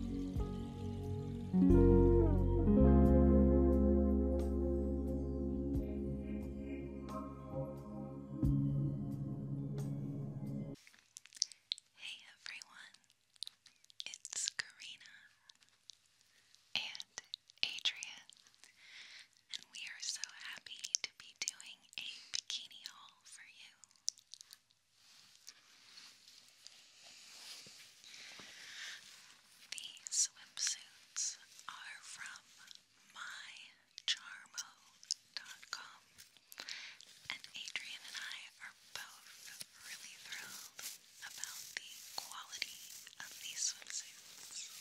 Hey everyone, it's Karina and Adrian, and we are so happy to be doing a bikini haul for you. These swimsuits are from mycharmo.com, and Adrian and I are both really thrilled about the quality of these swimsuits.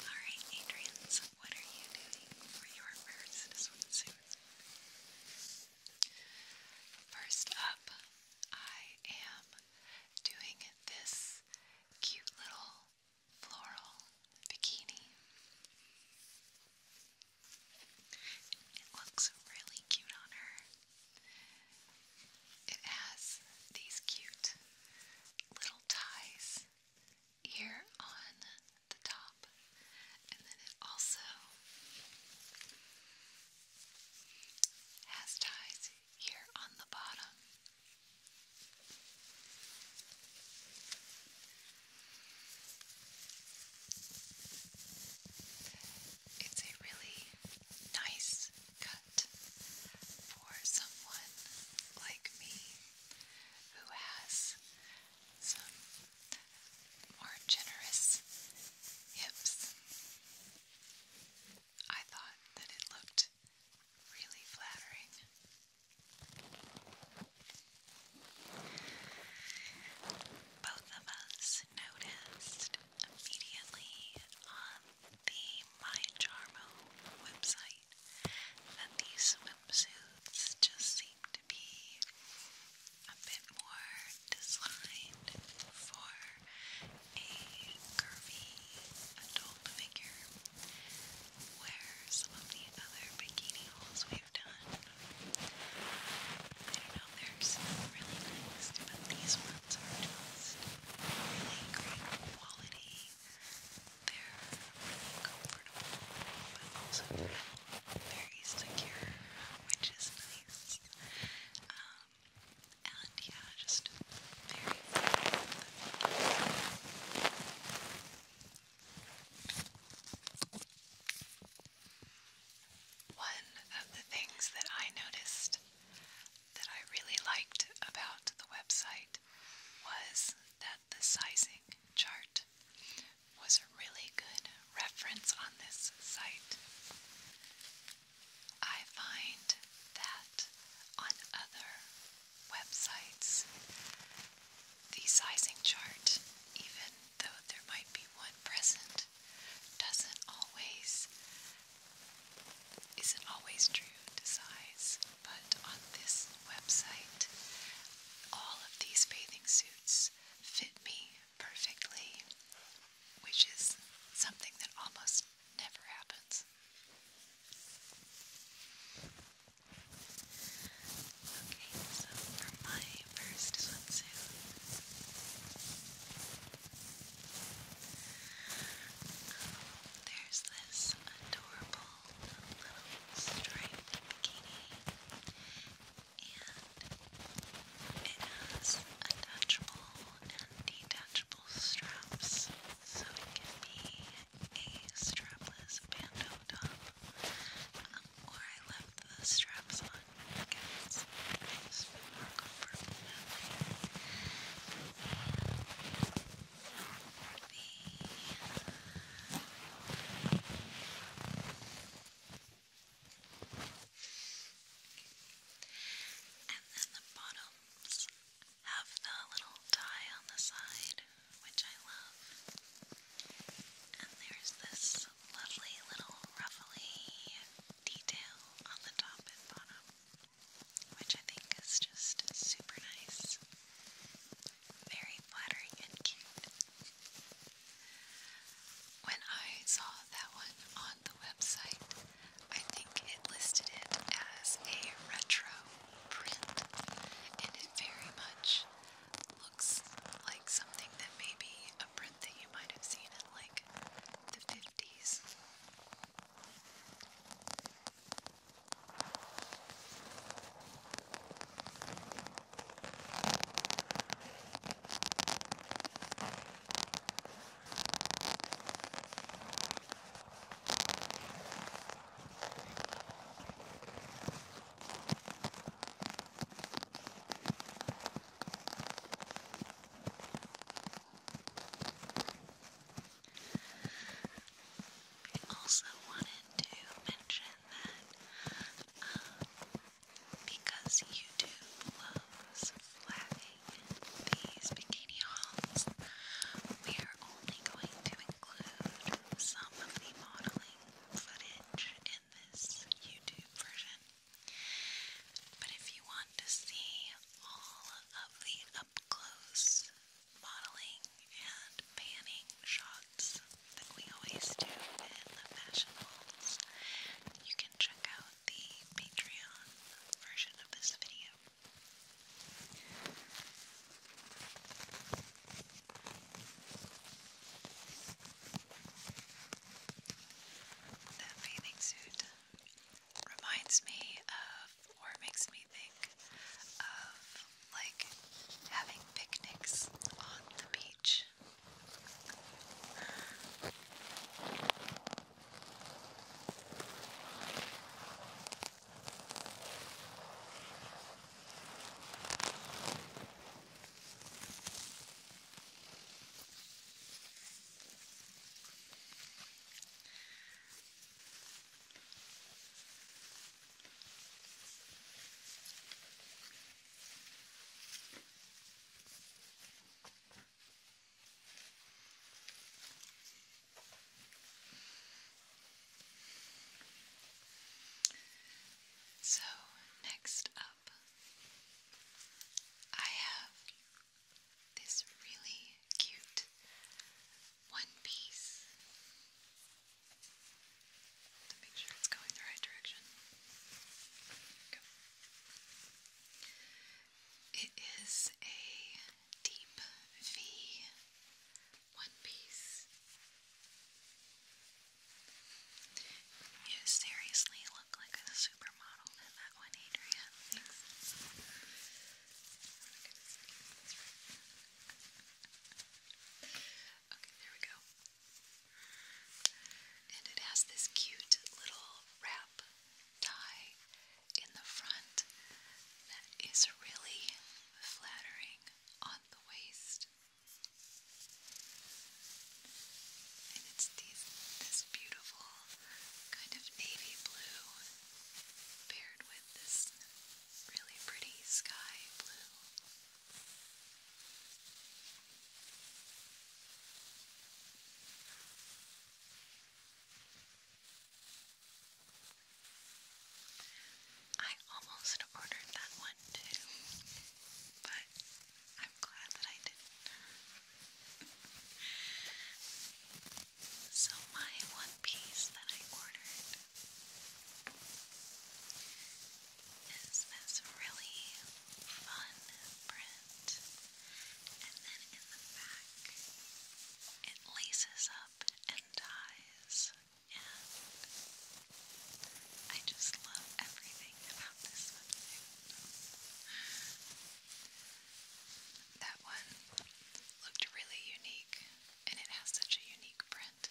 Alright, Adrian, what are you doing for your first swimsuit? First up, I am doing this cute little floral bikini. It looks really cute on her. It has these cute little ties here on the top, and then it also has ties here on the bottom. It's a really nice that for someone like me who has some more generous hips. I thought that it looked really flattering. Both of us noticed immediately the MyCharmo website that these swimsuits just seem to be a bit more designed for a curvy adult figure, where some of the other bikini hauls we've done, I know, they really nice, but these were sounds really great quality. They're really comfortable, but also very secure, which is nice. and yeah, just one of the things that I noticed that I really liked about the website was that the sizing chart was a really good reference on this site. I find that on other websites, the sizing chart, even though there might be one present, that doesn't always isn't always true to size, but on this website all of these bathing suits fit me perfectly, which is something that almost never happens. Okay, so for my first swimsuit, there's this adorable little striped bikini, and it has attachable and detachable straps, so it can be a strapless bandeau top, or um, I left the straps on guess it's and then the bottoms have the little tie on the side, which I love. And there's this lovely little ruffly detail on the top and bottom, which I think is just super nice. Very flattering and cute. When I saw that one on the website, I think it listed it as a retro print, and it very much looks like something that maybe a print that you might have seen in like the 50s. I also wanted to mention that um, because YouTube loves flagging these bikini hauls, we are only going to include some of the modeling footage in this YouTube version. But if you want to see all of the up close modeling and panning shots that we always do in the fashion hauls, you can check out the Patreon version of this video. The bathing suit reminds me of, or makes me think of, like having picnics on the beach. So, next up, I have this really cute one piece to make sure it's going the right direction. It is a deep V one piece you seriously look like a supermodel in that one, Adrian. Okay, there we go. And it has this cute little wrap tie in the front that is really flattering on the waist. And it's this beautiful kind of navy blue paired with this really pretty sky blue. I almost ordered that one too, but I'm glad that I did so, my one piece that I ordered is this really fun print, and then in the back, it laces up and ties. I just love everything about this website. That one looked really unique, and it has such a unique print.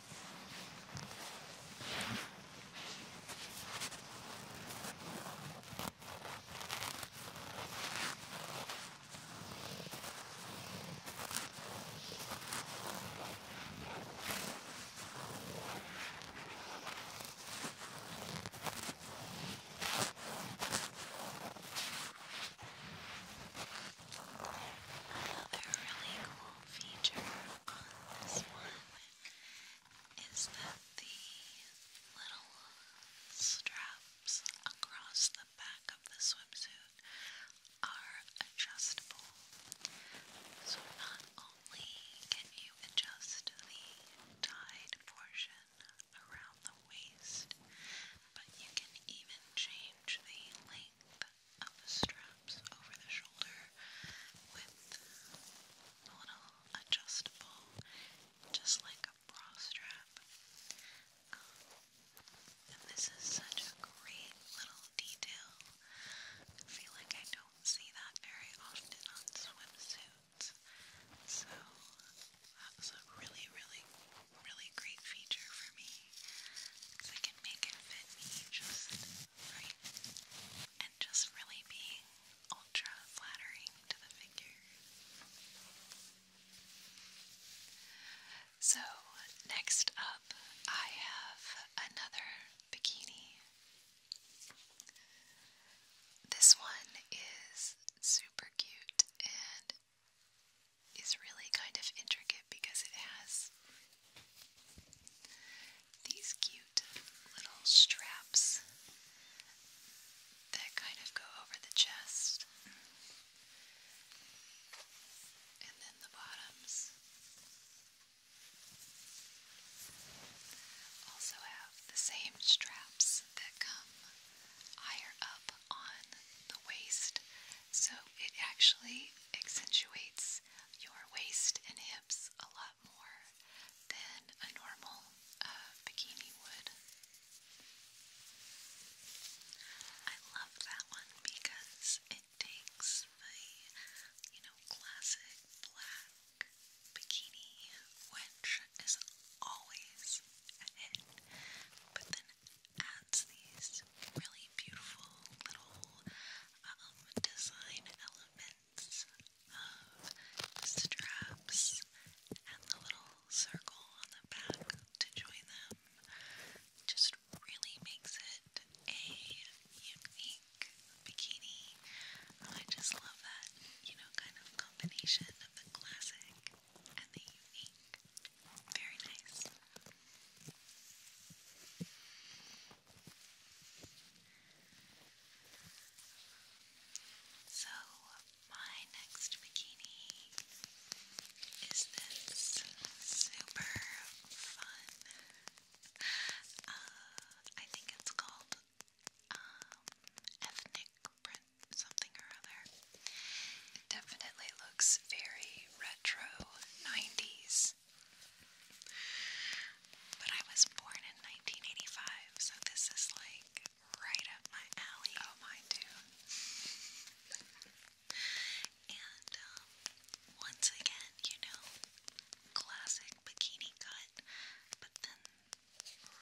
Another really cool feature on this one is that the little straps across the back of the swimsuit are adjustable. So not only can you adjust the tied portion around the waist, but you can even change the length of the straps over the shoulder with a little adjustable, just like a bra strap. Um, and this is such a great little detail. I feel like I don't see that very often on swimsuits. So that was a really, really, really great feature for me make it fit me just right. And just really being ultra flattering to the figure. So, next up, I have another bikini. This one is super cute and is really kind of intricate because it has these cute little straps that kind of go over the chest and then the bottoms also have the same straps that come higher up on the waist so it actually accentuates your waist and hips a lot more than a normal uh, bikini would. I love that one because it takes the, you know, classic black bikini, which is always a hit, but then adds these really beautiful little um, design elements of straps and the little circle on the back to join them. Just really makes it a unique bikini. I just love that, you know, kind of combination of the classic and the unique. Very nice. So, my next bikini is this super fun. Uh, I think it's called um, Ethnic Print something or other. It definitely looks very retro 90s. But I was born in 1985, so this is like right up my alley. Oh, mine too. and um, once again, you know, classic bikini cut, but then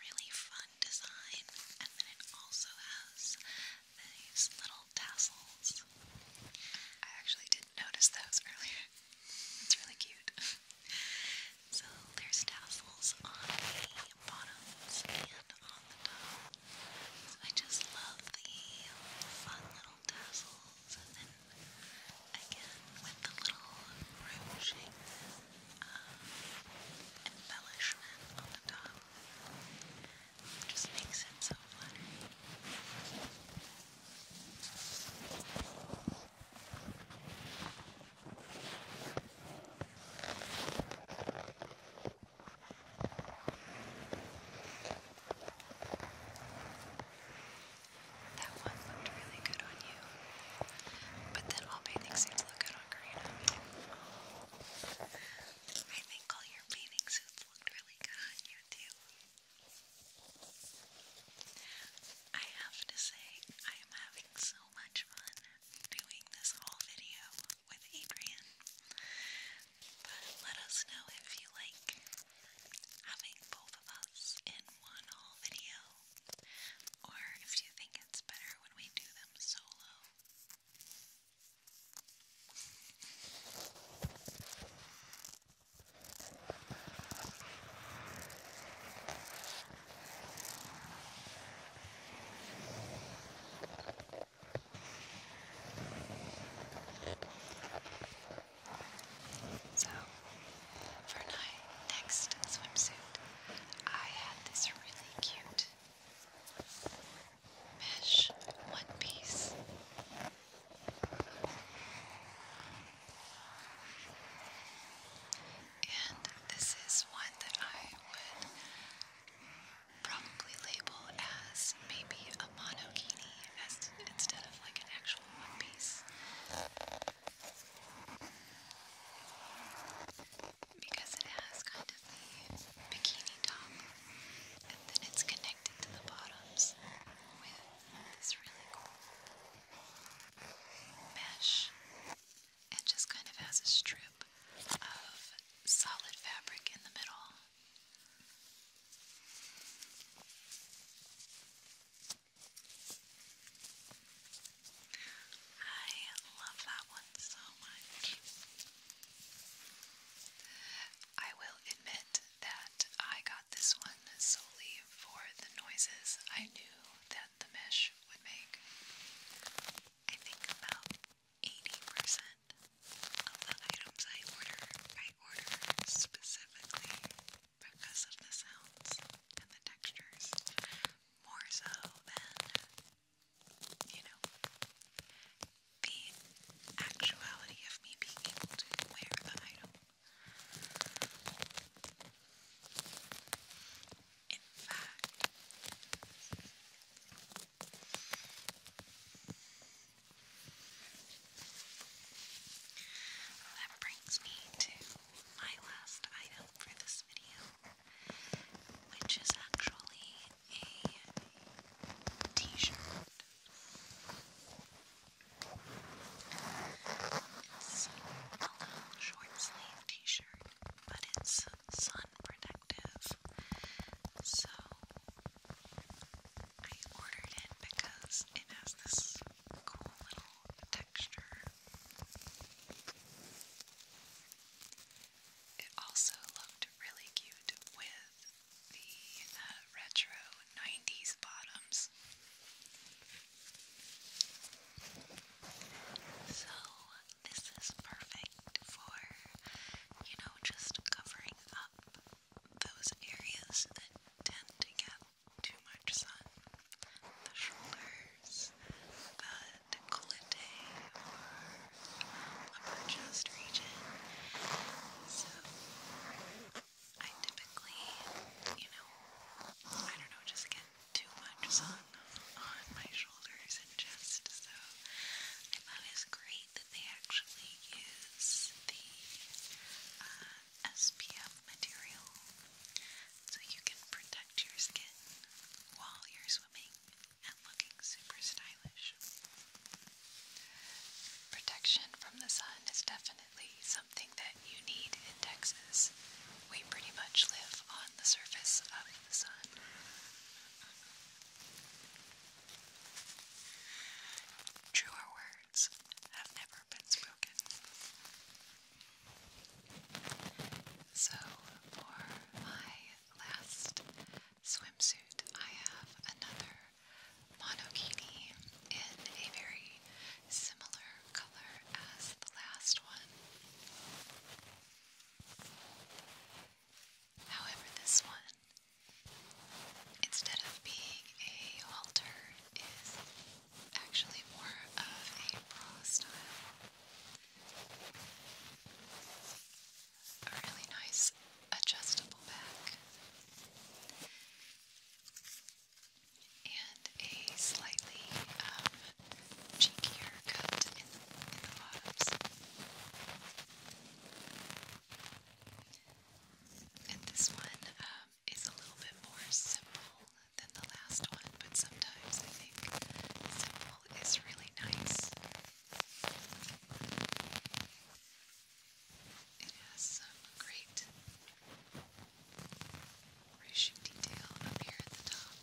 really fun design. And then it also has these little tassels. I actually didn't notice those earlier. It's really cute. So there's tassels on the bottoms and on the top. I just love the fun little tassels and then again with the little ruching um, embellishment on the top just makes it so fluffy. That one looked really good on you, but then all paintings seem look good on Karina. I think all your your suits looked really good on you too. I have to say, I am having so much fun doing this whole video with Adrian. But let us know if you like having both of us in one whole video, or if you think it's better when we do them solo. So, for my next swimsuit, I had this really cute mesh one piece. And this is one that I would probably label as maybe a monokini instead of like an actual one piece because it has kind of the bikini top and then it's connected to the bottoms with this really cool mesh. and just kind of has a strip of solid fabric in the middle. I love that one so much. I will admit that I got this one solely for the noises I knew that the mesh would make. I think about 80% of the items I order, I order specifically because of the sounds and the textures, more so than you the actuality of me being able to wear the item. In fact, that brings me to my last item for this video which is actually a t shirt. a little short sleeve t shirt, but it's sun protective. So I ordered it because it has this cool little texture. It also looked really cute with the uh, retro 90s bottoms. So, this is perfect for, you know, just covering up those areas that tend to get too much sun. The shoulder, fingers, uh, decollete or upper chest region. So I typically, you know, I don't know, just get too much sun on my shoulders and chest. So I thought great that they actually use the uh, material so you can protect your skin while you're swimming looking super stylish. Protection from the sun is definitely something that you need in Texas. We pretty much live on the surface of the sun. Truer words have never been spoken. So, for my last swimsuit, I have another monokini in a very similar color as the last one. However, this one, instead of being a halter, is actually more of a bra style. A really nice adjustable back and a slightly um, cheekier cut in the, in And this one um, is a little bit more simple than the last one, but sometimes I think simple is really nice. It has some great ruching detail up here at the top,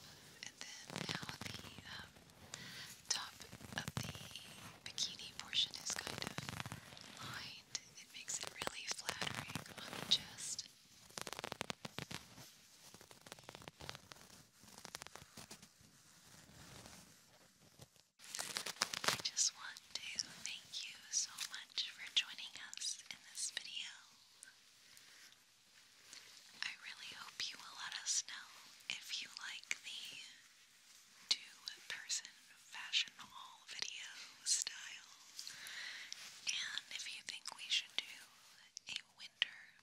and then now the um, top of the bikini portion is kind of lined. It makes it really flattering on the chest. I just want to thank you so much for joining us in this video. I really hope you will let us know if you like the two-person fashion haul video style and if you think we should do a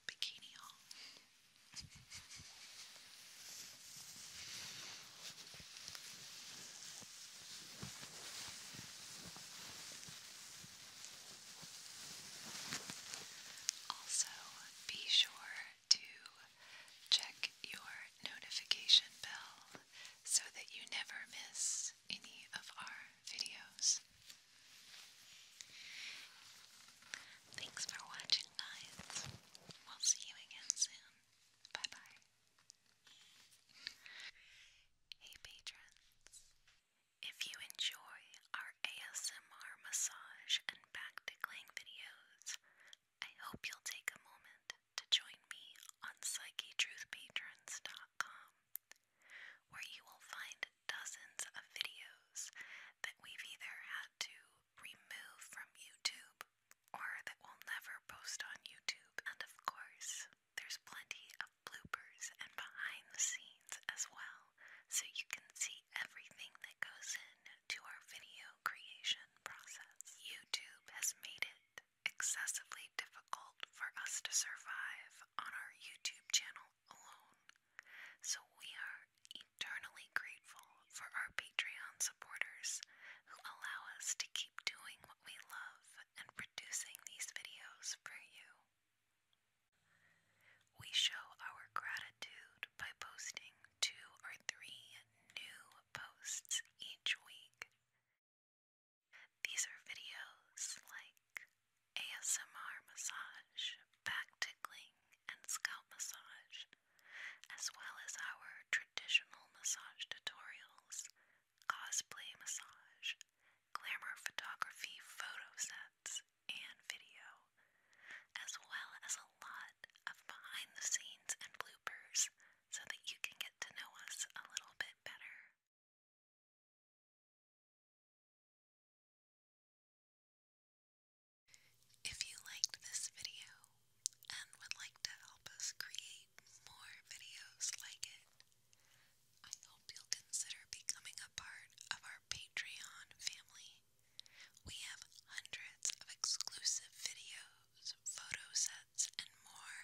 bikini haul. also, be sure to check your notification bell so that you never miss any of our videos. Thanks for watching, guys. We'll see you again soon. Bye bye. Hey, patrons. If you enjoy our ASMR massage and back tickling videos, I hope you'll take a moment to join me on PsycheTruthPatrons.com where you will find dozens of videos that we've either had to remove from YouTube or that we'll never post on YouTube. And of course, there's plenty of bloopers and behind the scenes as well, so you can see everything that goes into our video creation process. YouTube has made it excessively difficult difficult for us to survive on our YouTube channel alone, so we are eternally grateful for our Patreon supporters who allow us to keep doing what we love and producing these videos for you. We show our gratitude by posting two or three new posts each week. These are videos like ASMR massage, back tickling, and scalp massage, as well as our traditional massage tutorials, cosplay massage, glamour photography photo sets, and video, as well as a lot of behind the scenes and bloopers so that you can get to know us a little bit better. If you liked this video and would like to help us create more videos like it, I hope you'll consider becoming a part of our Patreon family. We have hundreds of exclusive videos, photo sets, and more